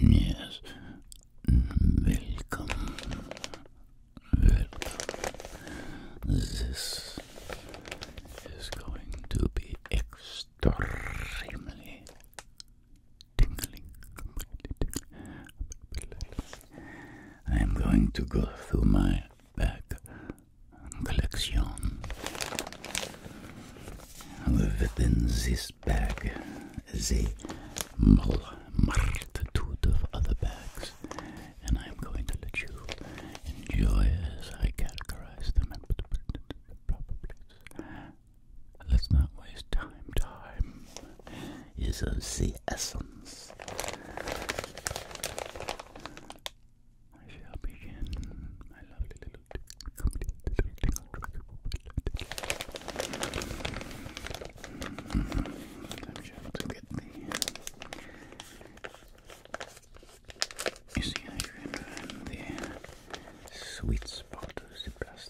Yes. Welcome. This is going to be extremely tingling, I am going to go through my bag collection. Within this bag is a multitude of other bags, and I am going to let you enjoy as I categorize them and the proper place. Let's not waste time. Time is of the essence. I shall begin my lovely little complete little I'm sure to get the. You see how you the sweet spot of the plastic.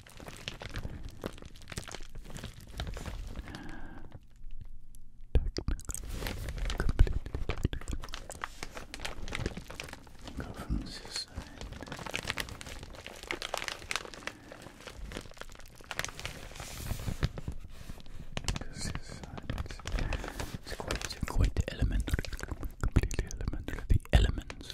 Go from this side. This side it's, quite, quite elementary, completely elementary. The elements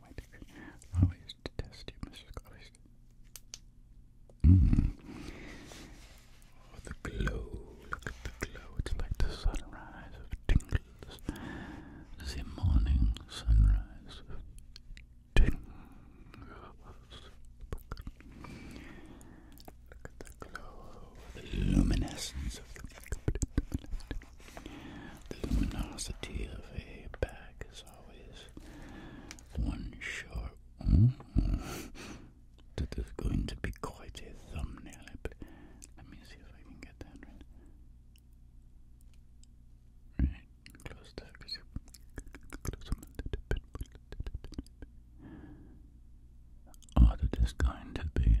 my dick. I always detest you, Mr. Collins. Mm. Oh, the glow. Look at the glow. It's like the sunrise of tingles. The morning sunrise of tingles. Look at the glow, the luminescence of the the luminosity of a bag is always one short. Mm-hmm. That is going to be quite a thumbnail. Let me see if I can get that right. Right, close that. Close a little bit. Oh, that is going to be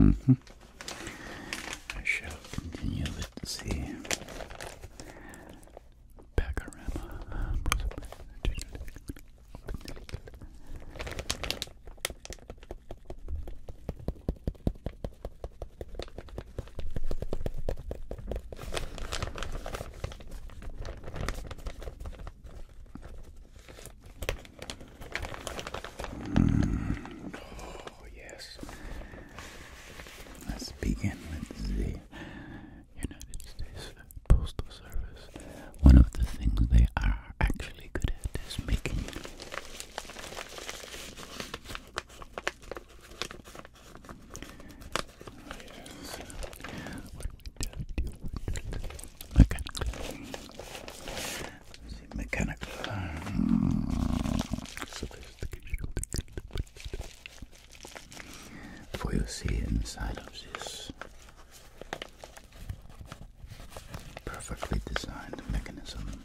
Mm -hmm. I shall continue with the panorama. Open Oh, yes. Let's begin with the United States Postal Service. One of the things they are actually good at is making Yes. What do we do? Mechanical. See, mechanical. Sophistication. For you see inside of this perfectly designed mechanism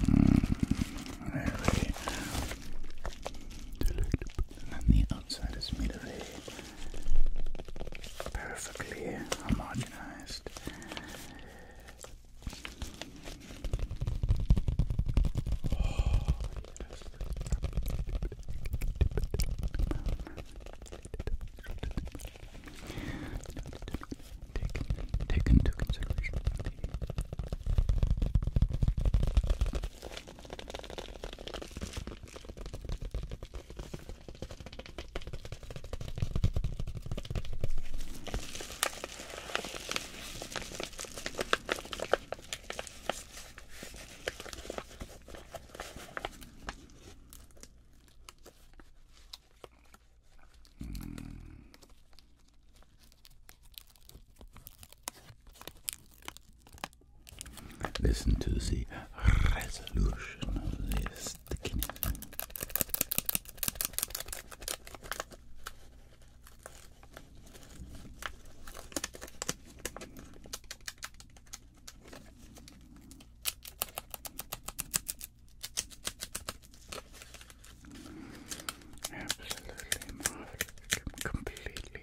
Mm, And then the outside is made of a perfectly homogenized Take, take into consideration the Listen to the resolution of this stickiness. Absolutely marvelous. Completely.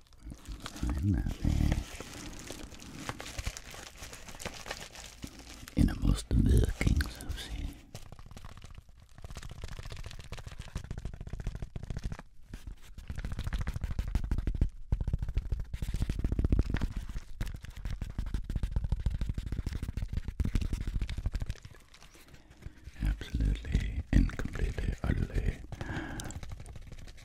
innermost workings of the Absolutely and utterly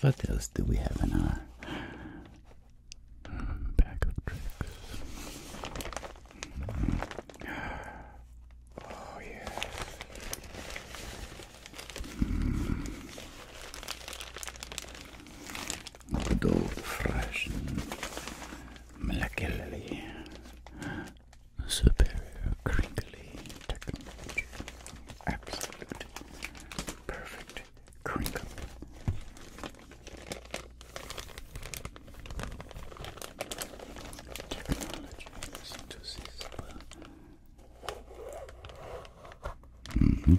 What else do we have in our bag um, of Oh, yeah. Bordeaux fresh and molecularly superior, crinkly Absolute perfect crinkle. Technology synthesis. -hmm.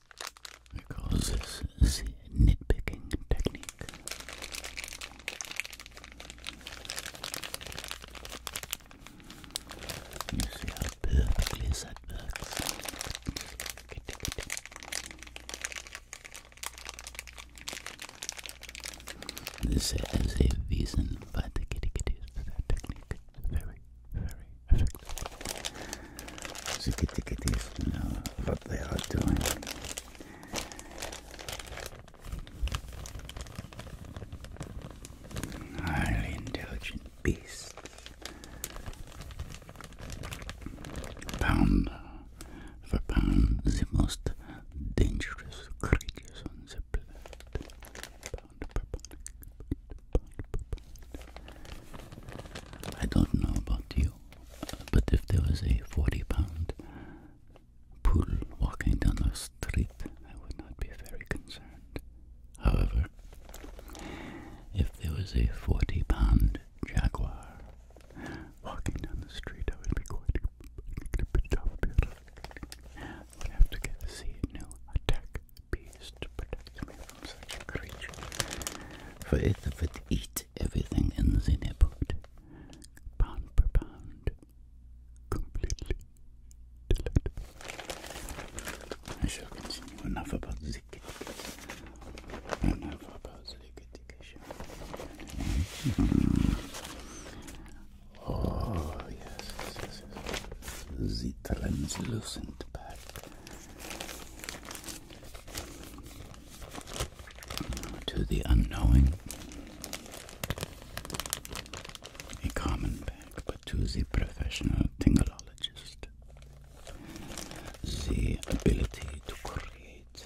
because this is the nitpicking technique. You see how perfectly works. This is a reason why the kitty kitty effectively. So get to know what they are doing. Highly intelligent beasts. Pound for pound, the most dangerous creatures on the planet. I don't know about you, but if there was a 40 pound poodle walking down the street, I would not be very concerned. However, if there was a 40 pound jaguar walking down the street, I would be quite a bit we have to get see a new attack beast to protect me from such a creature. For it would eat everything in the neighborhood, pound per pound, completely I shall continue enough about the Enough about the Oh yes, yes, yes, yes. translucent to the unknowing, a common back, but to the professional tingleologist, the ability to create.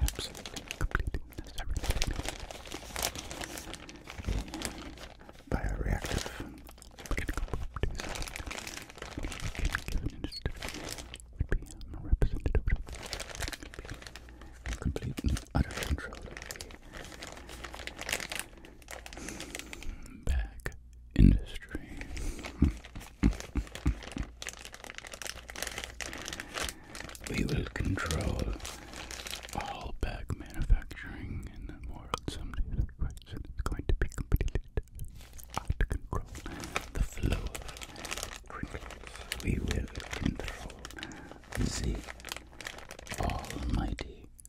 Absolutely completing this everything. Bioreactive mechanical properties given industry would be um, representative of complete and utter control of the Back industry. we will control all bag manufacturing in the world someday. It's going to be completely out of control. The flow of crinkles. We will control the almighty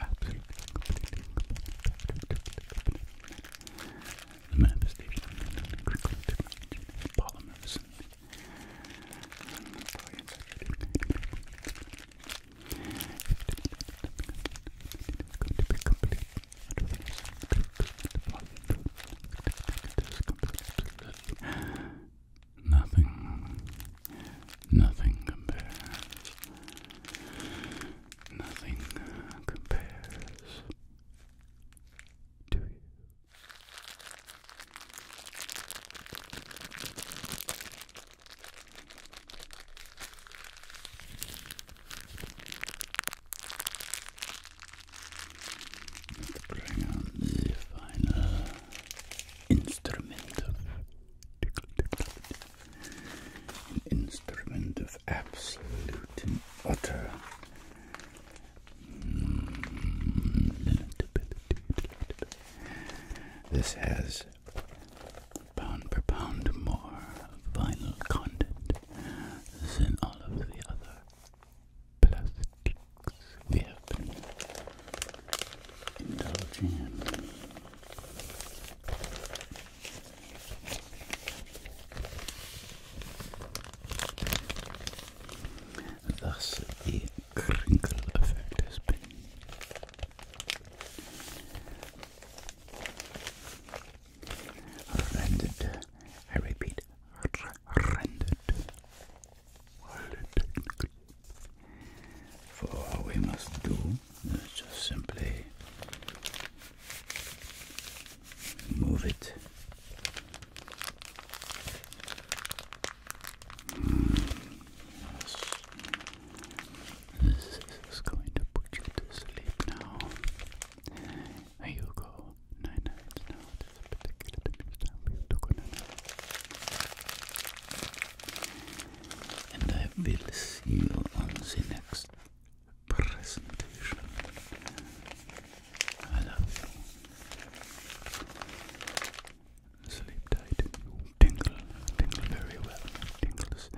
Absolutely, completely, completely, the manifestation of crinkly polymers going to be complete. Nothing Nothing compares. Nothing compares to you. Let's bring on the final instrument of an instrument of absolute and utter This has pound per pound more vinyl content than all of the other plastics we have been indulging in. Thus, the crinkle effect has been rendered. I repeat, rendered. While for what we must do is just simply move it. This is going to put you to sleep now. There you go. Nine nights now. This particular time for you to go to and I will see you on the next presentation. I love you. Sleep tight. Tingle. Tingle very well. Tingles.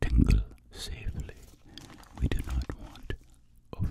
Tingle safely. We do not want over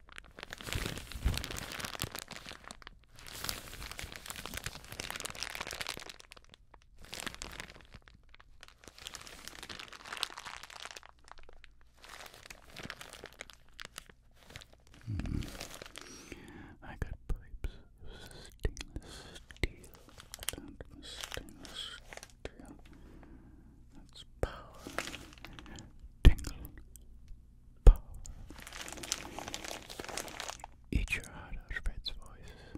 Mm. I got pipes stainless steel. stainless steel. That's Tingle power. Eat your heart out of Fred's voice.